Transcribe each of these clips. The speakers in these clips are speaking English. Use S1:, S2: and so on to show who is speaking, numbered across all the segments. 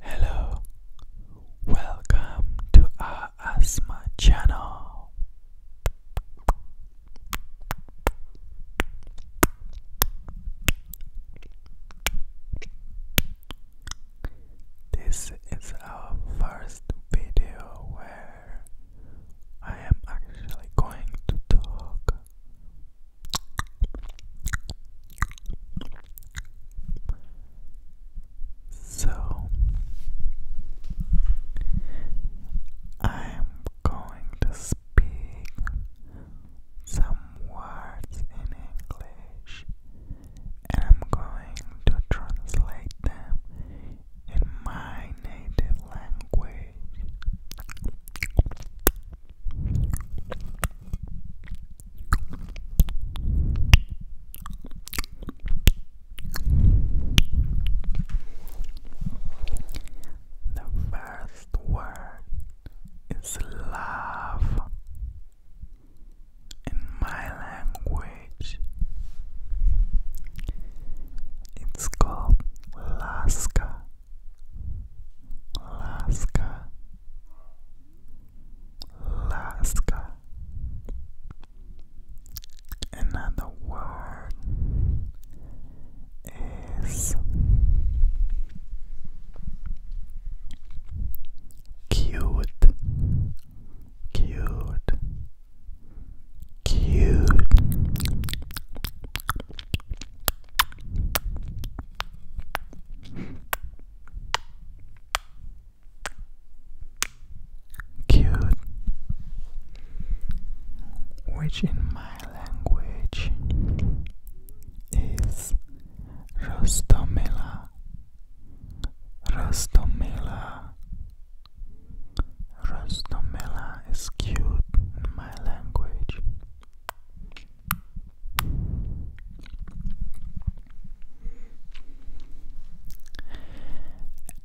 S1: Hello, welcome to our asthma channel. This is our first video where I am actually going to talk so I'm going to speak some words in English and I'm going to translate them in my native language. The first word is love in my language. It's called Alaska. Laska. Alaska. Another word is cute, cute, cute. Cute, which in my language is Rostomela, Rostomela, Rostomela is cute in my language.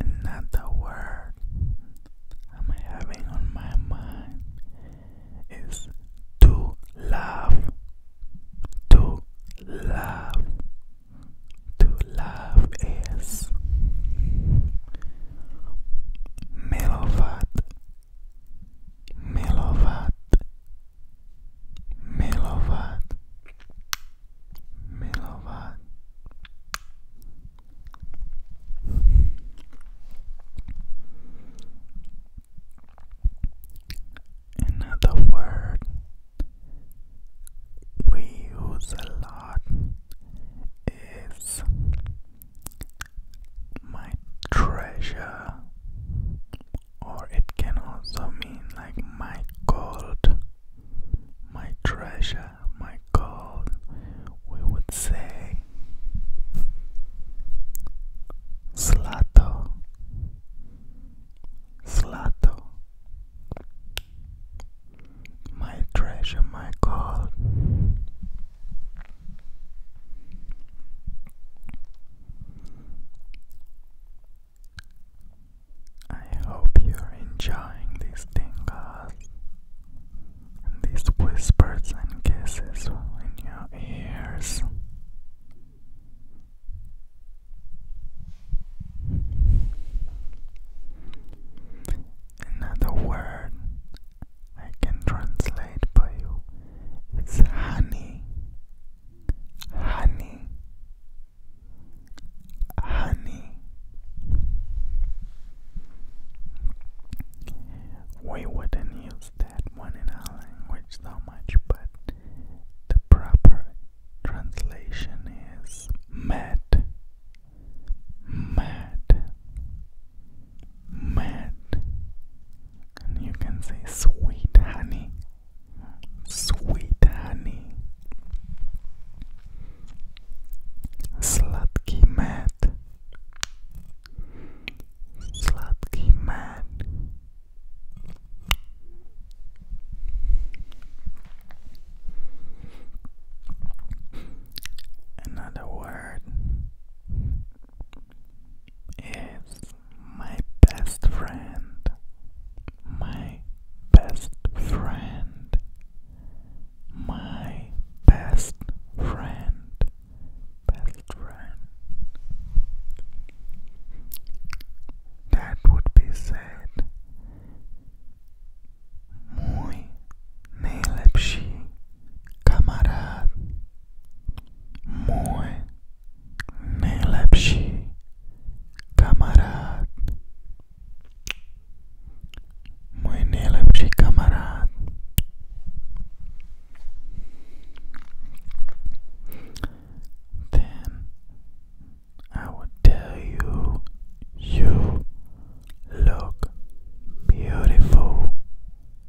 S1: Another word I'm having on my mind is to love, to love, to love is middle milovat milovat milovat another word we use a lot is my treasure, or it can also mean like my gold, my treasure, my gold, we would say Slato, Slato, my treasure, my gold. I hope you're enjoying these tingles and these whispers and kisses in your ears. Another word I can translate for you. It's honey, honey, honey. We wouldn't use that one in our language so much, but the proper translation is mad, mad mad. And you can say sweet honey. Sweet honey. Sladky mad. Sladky mad. Another word is my best friend, my best friend, my best friend, best friend. That would be sad. Mój najlepszy kamarád, můj nejlepší kamarád, můj nejlepší kamarád. Then I would tell you, you look beautiful,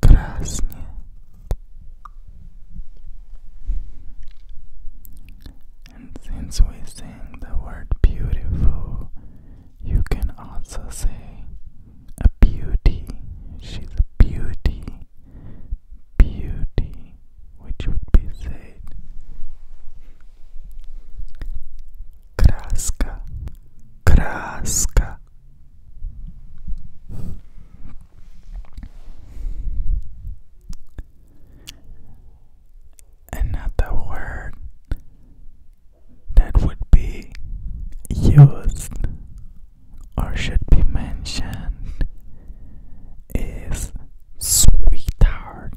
S1: krásně. And since we sing the word beautiful, you can also say a beauty. She's a beauty. Beauty, which would be said Kraska. Kraska. Another word that would be used or should be mentioned is sweetheart.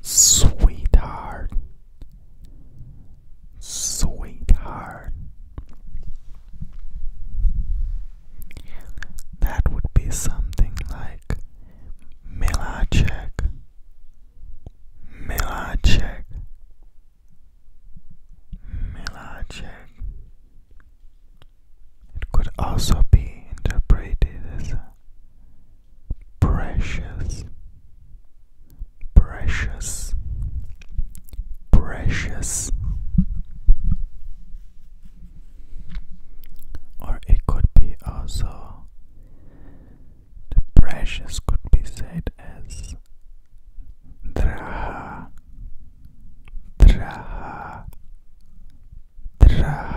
S1: Sweetheart. Sweetheart. That would be something like Milacek, Milacek, Milacek. It could also be interpreted as precious, precious precious, or it could be also precious could be said as draha, draha, draha.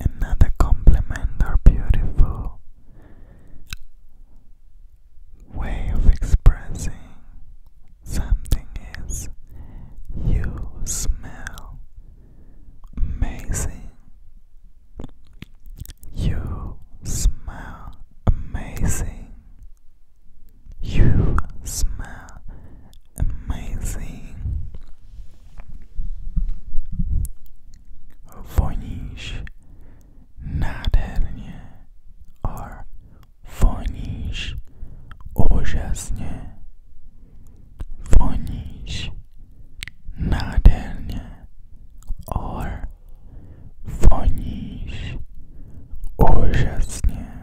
S1: Another compliment or beautiful way of expressing something is you smell amazing. You smell amazing. You smell amazing vanish nádherně or vanish ужасně vanish nádherně or vanish ужасně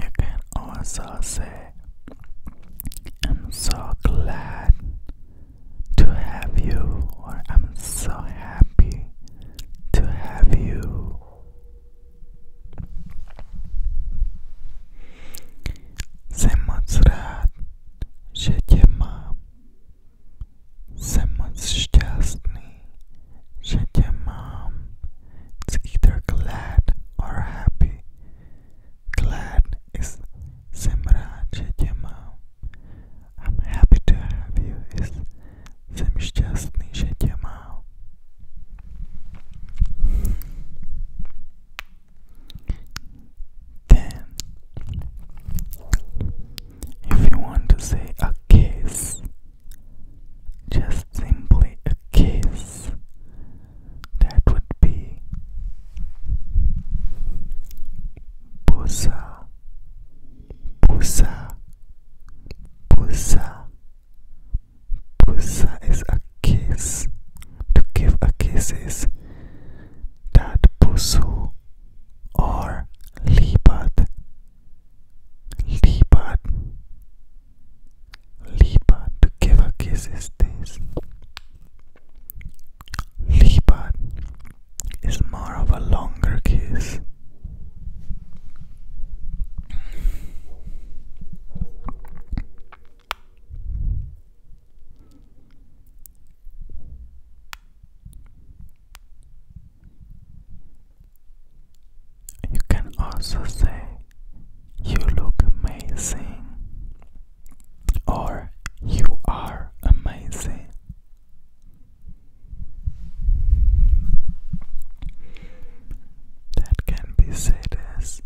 S1: You can also say, I'm so glad to have you, or I'm so happy to have you. Jsem moc Someone's just me. že tě mám. It's either glad or happy. Glad is jsem rád, že tě mám. I'm happy to have you is just me? že tě mám. Ten. If you want to say a kiss, just simply a kiss. That would be Pusa, Pusa, Pusa. Pusa is a kiss. To give a kiss is that pusu or libat Lipat. Lipat. To give a kiss is this. Lipat is more of a longer kiss. You can also say, You look amazing, or You are amazing. That can be said as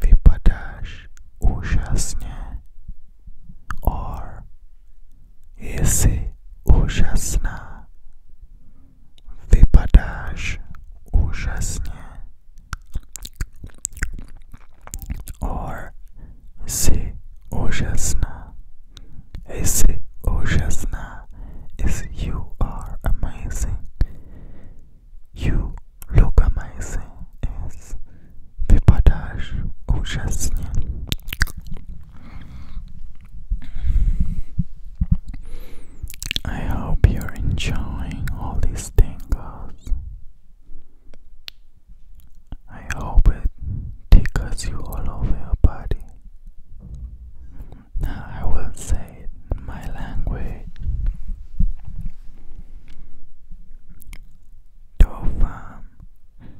S1: Vypadash Ushasne or Esse ужасно. Выпадаешь is you are amazing. You look amazing Wypadasz ujasnie. I hope you're enjoying all these tingles. I hope it tickles you all over your body. Now I will say it in my language. Doufám,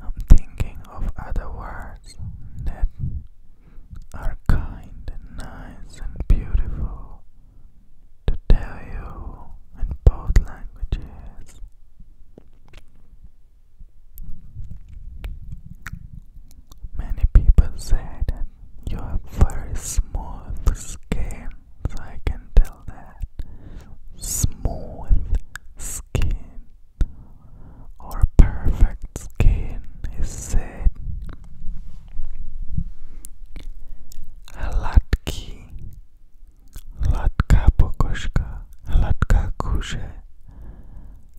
S1: I'm thinking of other words that are kind and nice and beautiful to tell you in both languages. Many people say that very smooth skin so I can tell that smooth skin or perfect skin is said. Hladký, hladká pokožka, hladká kůže,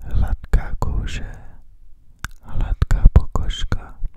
S1: hladká kůže, hladká pokožka.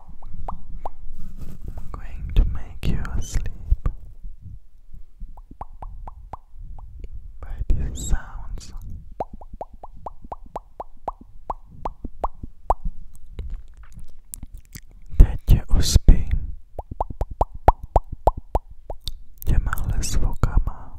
S1: I'm going to make you sleep, by these sounds. Teď uspí těmahle zvukama.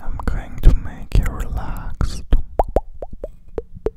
S1: I'm going to make you relaxed.